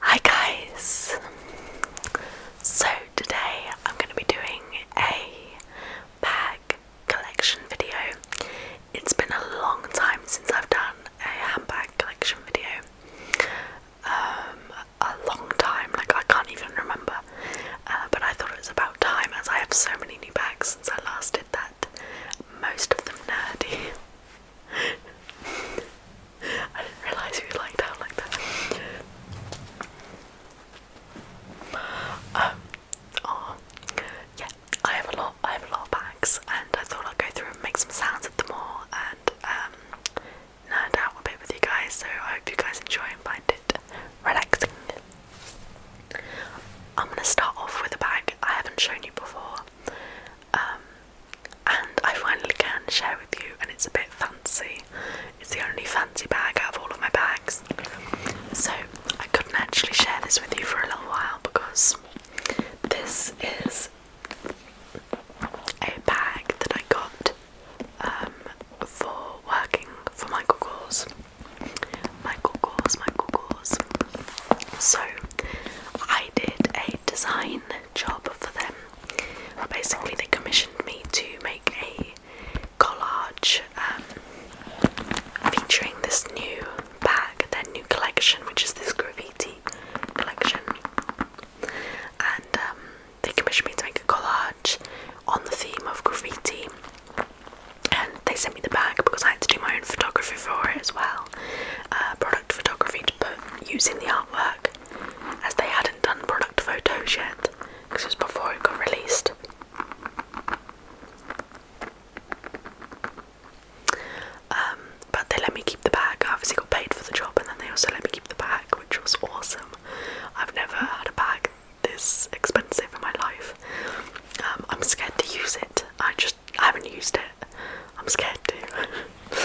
Hi guys! So today I'm going to be doing a bag collection video. It's been a long time since I've done a handbag collection video. Um, a long time, like I can't even remember. Uh, but I thought it was about time as I have so many new bags since I last did that. Most of them nerdy. I didn't realise you liked out like that. Um, oh, yeah, I have a lot, I have a lot of bags, and I thought I'd go through and make some sounds of them all, and um, nerd out a bit with you guys, so I hope you guys enjoy and find it relaxing. I'm gonna start off with a bag I haven't shown you before, um, and I finally can share with you, and it's a bit fancy. It's the only fancy bag out of all of my bags. So I couldn't actually share this with you for a little while because this is a bag that I got um, for working for my Kors. my Kors, my Kors. So I did a design job for them. Basically, they commissioned me to make a collage um, featuring this new bag, their new collection, which is this graffiti collection. And um, they commissioned me to make a collage on the theme of graffiti. And they sent me the bag because I had to do my own photography for it as well, uh, product photography to put using the artwork as they hadn't done product photos yet because it was before it got released. Um, but they let me keep the bag. I obviously got paid for the job, and then they also let me keep the bag, which was awesome. I've never had a bag this expensive in my life. Um, I'm scared to use it. I just haven't used it. I'm scared too.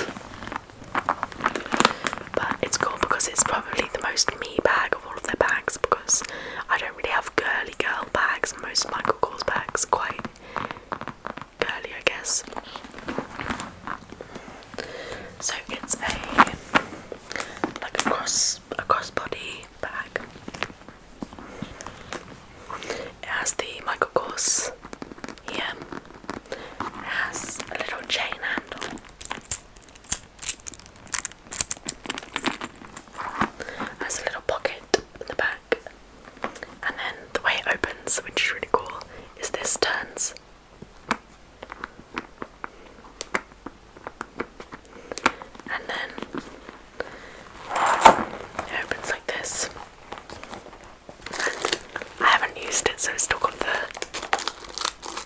but it's cool because it's probably the most me bag of all of their bags because I don't really have girly girl bags. Most Michael Kors bags quite girly, I guess. So it's a like a cross a crossbody bag. It has the Michael Kors here has a little chain handle. Has a little pocket in the back, and then the way it opens, which is really cool, is this turns. And then it opens like this. I haven't used it, so it's still got the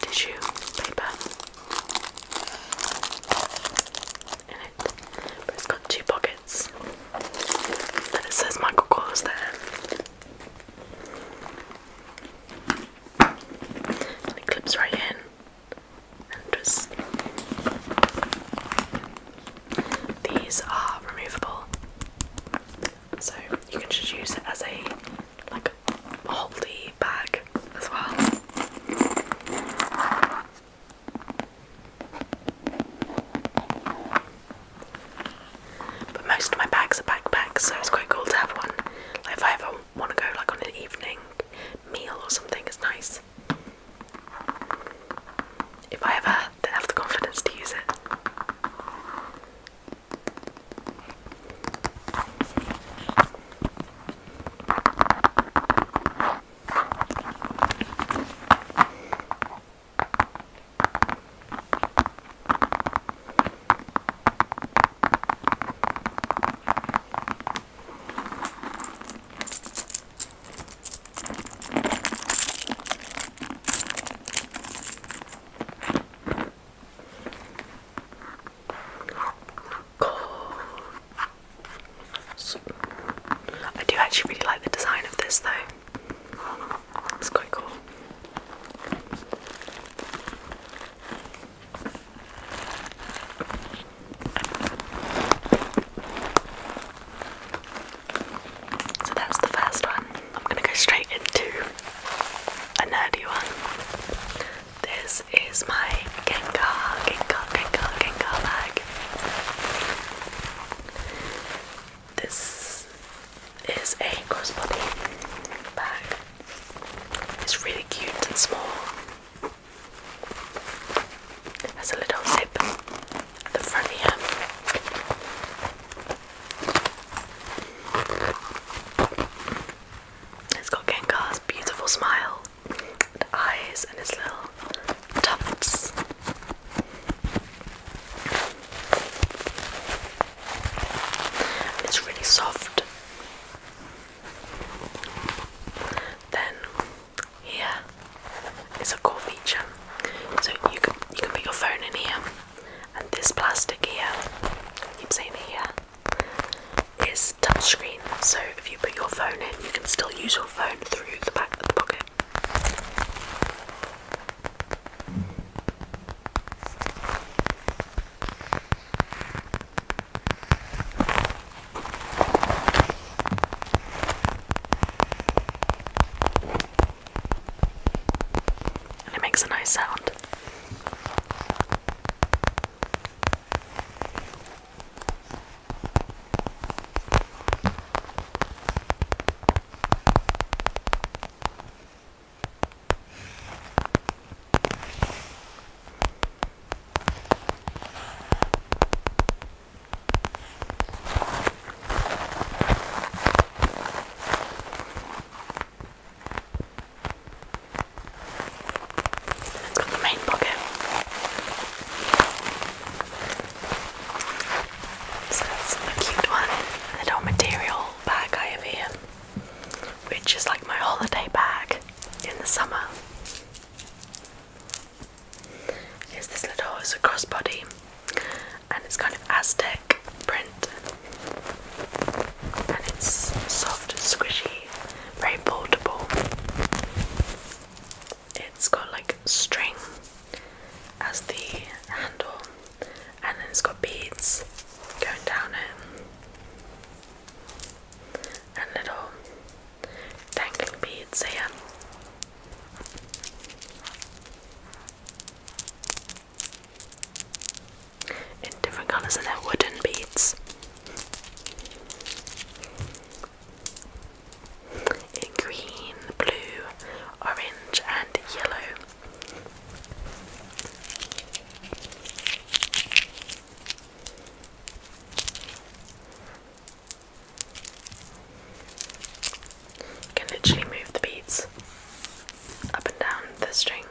tissue paper in it. But it's got two pockets, and it says Michael Kors there. And it clips right in and just these are removable so you can just use it as a like holdy bag as well. But most of my bags are backpacks, so it's quite cool to have one. if I ever want to go like on an evening meal or something, it's nice. If I ever don't have the confidence to use it. Cool. I do actually really like the design of this though. It's quite cool. So that's the first one. I'm gonna go straight into a nerdy one. This is my Gengar, Gengar, Gengar, Gengar bag. This is a crossbody bag. It's really cute and small. There's a little zip at the front here. It's got Gengar's beautiful smile and eyes and his little tufts. It's really soft. Then here is a cool feature. So you can you can put your phone in here and this plastic here, I keep saying here, is touchscreen. So if you put your phone in, you can still use your phone through the back of the pocket. And it makes a nice sound. Got the main pocket. So that's a cute one. little material bag I have here, which is like my holiday bag in the summer. Is this little? It's a crossbody and it's kind of Aztec print and it's soft, squishy, very portable. It's got like string as the handle and then it's got beads going down it and little dangling beads here in different colours and their wooden beads. In green, blue, orange, and yellow. You can literally move the beads up and down the string.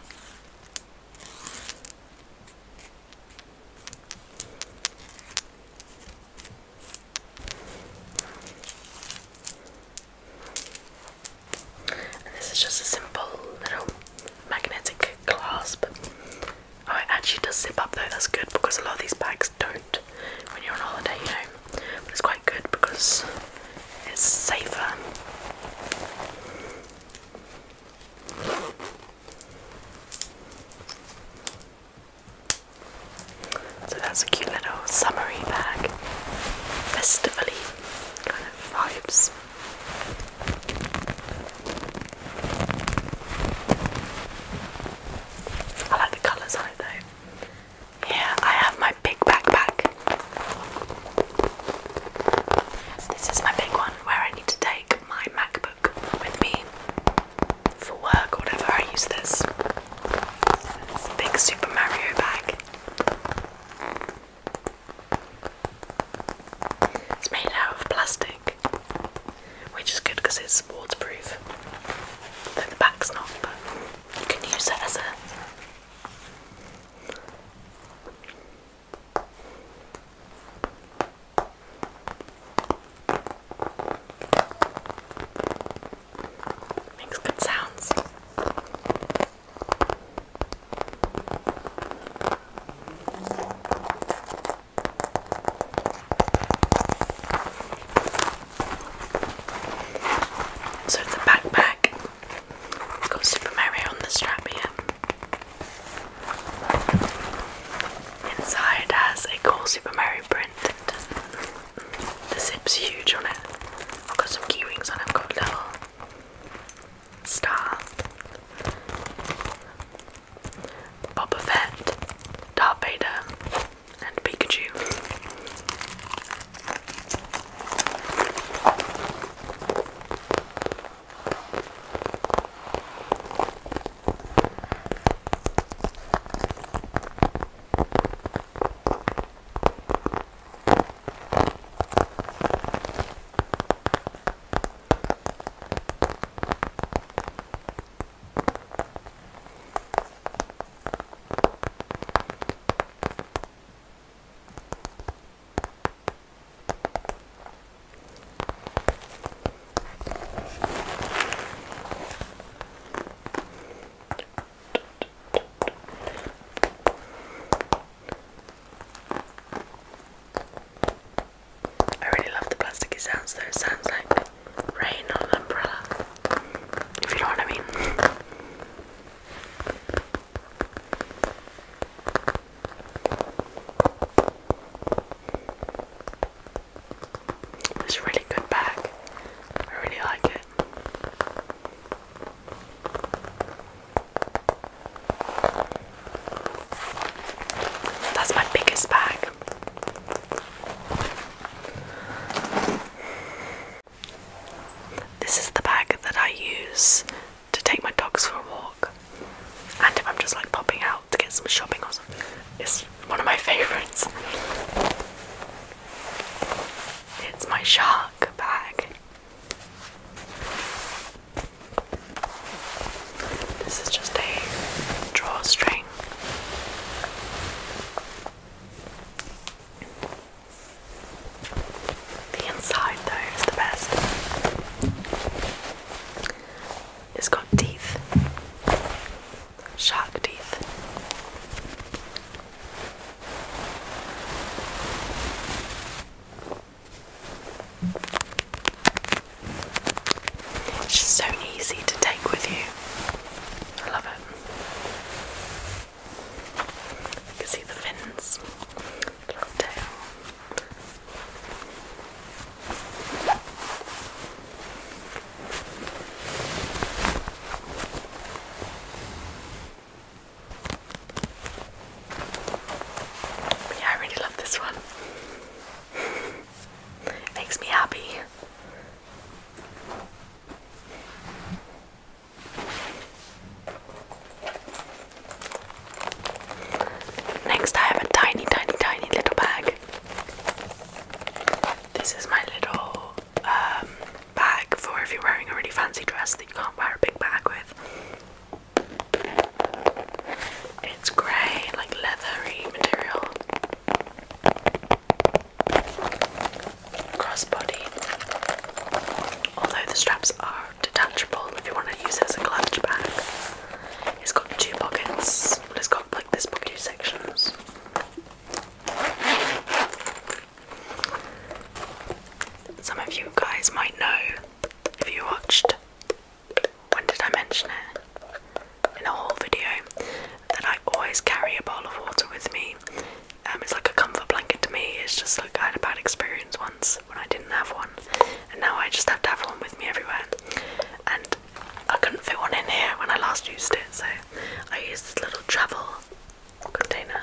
And this is just a simple little magnetic clasp. Oh, it actually does zip up though, that's good because a lot of these bags don't when you're on holiday, you know. it's quite good because it's safer. So that's a cute little summery bag, festively kind of vibes. I like the colours though. Yeah, I have my big backpack. This is my big one where I need to take my MacBook with me for work or whatever. I use this. big Super Mario bag. It's made out of plastic, which is good because it's waterproof. the back's not, but you can use that as a makes good sounds. So the backpack. It's got Super Mario on the strap here. Inside has a cool Super Mario print. The zip's huge on it. I've got some key rings on I've got little star. Boba Fett, Darth Vader, and Pikachu. I really love the plasticky sounds though, it sounds like rain on an umbrella. If you know what I mean. It's really good bag. I really like it. That's my biggest bag. This is the bag that I use to take my dogs for a walk, and if I'm just like popping out to get some shopping or something, it's one of my favourites. It's my shark bag. This is just a drawstring. The inside though is the best. It's got teeth. Shark teeth. It's so easy to take with you. I love it. You can see the fins, little tail. yeah, I really love this one. Makes me happy. Next, I have a tiny, tiny, tiny little bag. This is my little um, bag for if you're wearing a really fancy dress that you can't wear a big bag with. It's grey, like leathery material crossbody. Although the straps are detachable if you want to use it as a clutch bag. It's got two pockets. Well, it's got like this pocket, two sections. Some of you guys might know if you watched. When did I mention it? In a whole video, that I always carry a bowl of water with me um, it's like a comfort blanket to me. It's just like I had a bad experience once when I didn't have one, and now I just have to have one with me everywhere. And I couldn't fit one in here when I last used it, so I used this little travel container.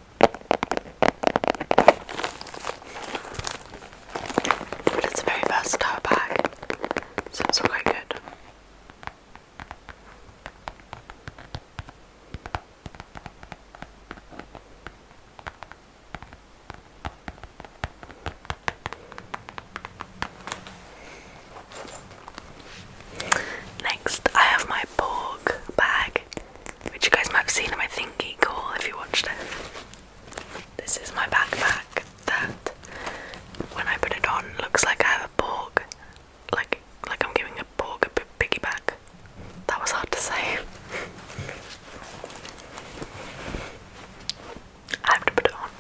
it's a very versatile bag, so it's quite good. Next, I have my Borg bag which you guys might have seen in my thingy call if you watched it. This is my backpack that, when I put it on, looks like I have a Borg, like like I'm giving a Borg a piggyback. That was hard to say. I have to put it on.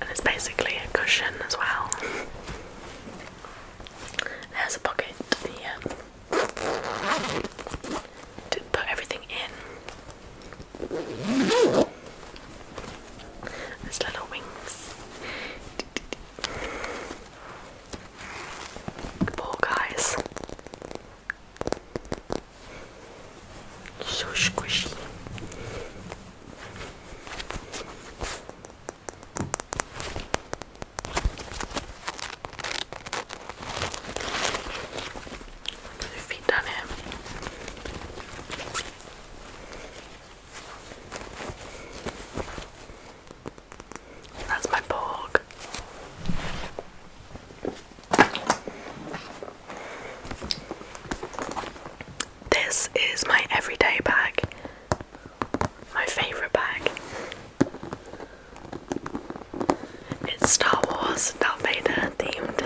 And it's basically a cushion as well. There's a pocket here um, to put everything in. There's little wings. Oh, guys. So squishy. Put your feet that's my bag. This is my everyday bag, my favourite bag. It's Star Wars, Darth Vader themed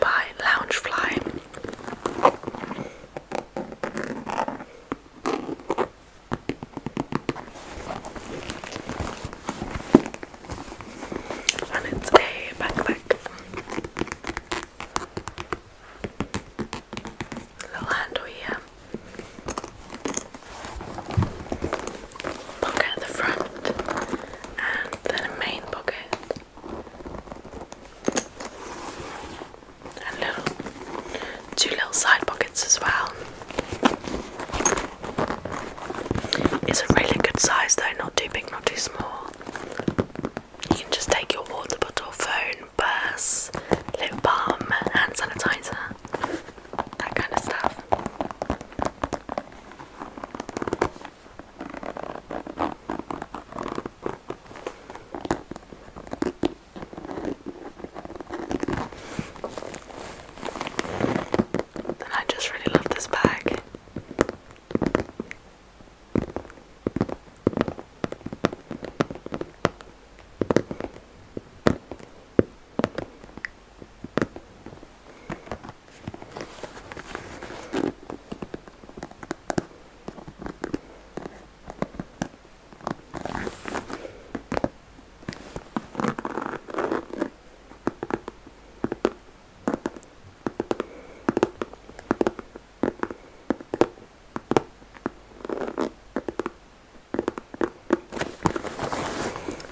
by Loungefly. And it's a back Little handle here. Pocket at the front and then a main pocket and little two little side pockets as well. It's a really good size though, not too big, not too small. You can just take your water bottle, phone, purse, lip balm, hand sanitizer, that kind of stuff. I just really love this bag.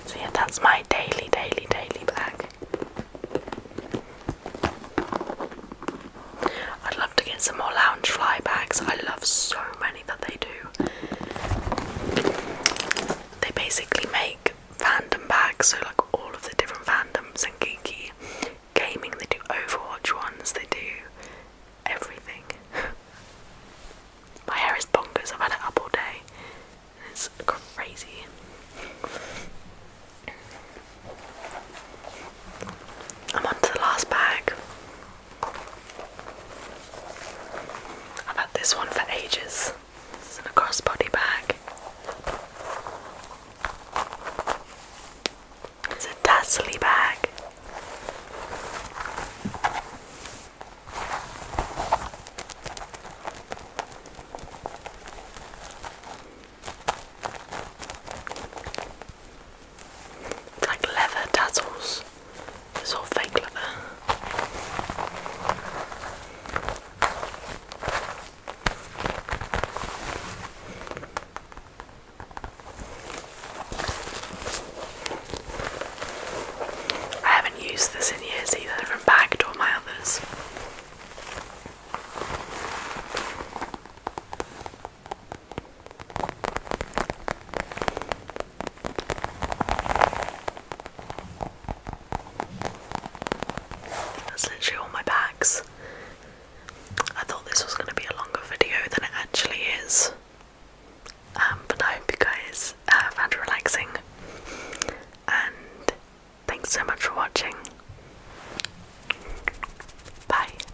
So, yeah, that's my daily, daily, daily black. I'd love to get some more lounge fly bags. I love so many that they do. They basically make fandom bags, so like all of the different fandoms and geeky gaming. They do Overwatch ones. They do everything. My hair is bonkers. I've had it up all day. It's crazy. I'm on to the last bag. I've had this one for ages. This is a crossbody bag. It's a tassely bag. It's like leather tassels. It's all fake leather. I haven't used this in years either from Bagged or my others. That's literally all my bags. I thought this was going to be a longer video than it actually is. Um, but I hope you guys uh, found it relaxing. And thanks so much for watching. Bye.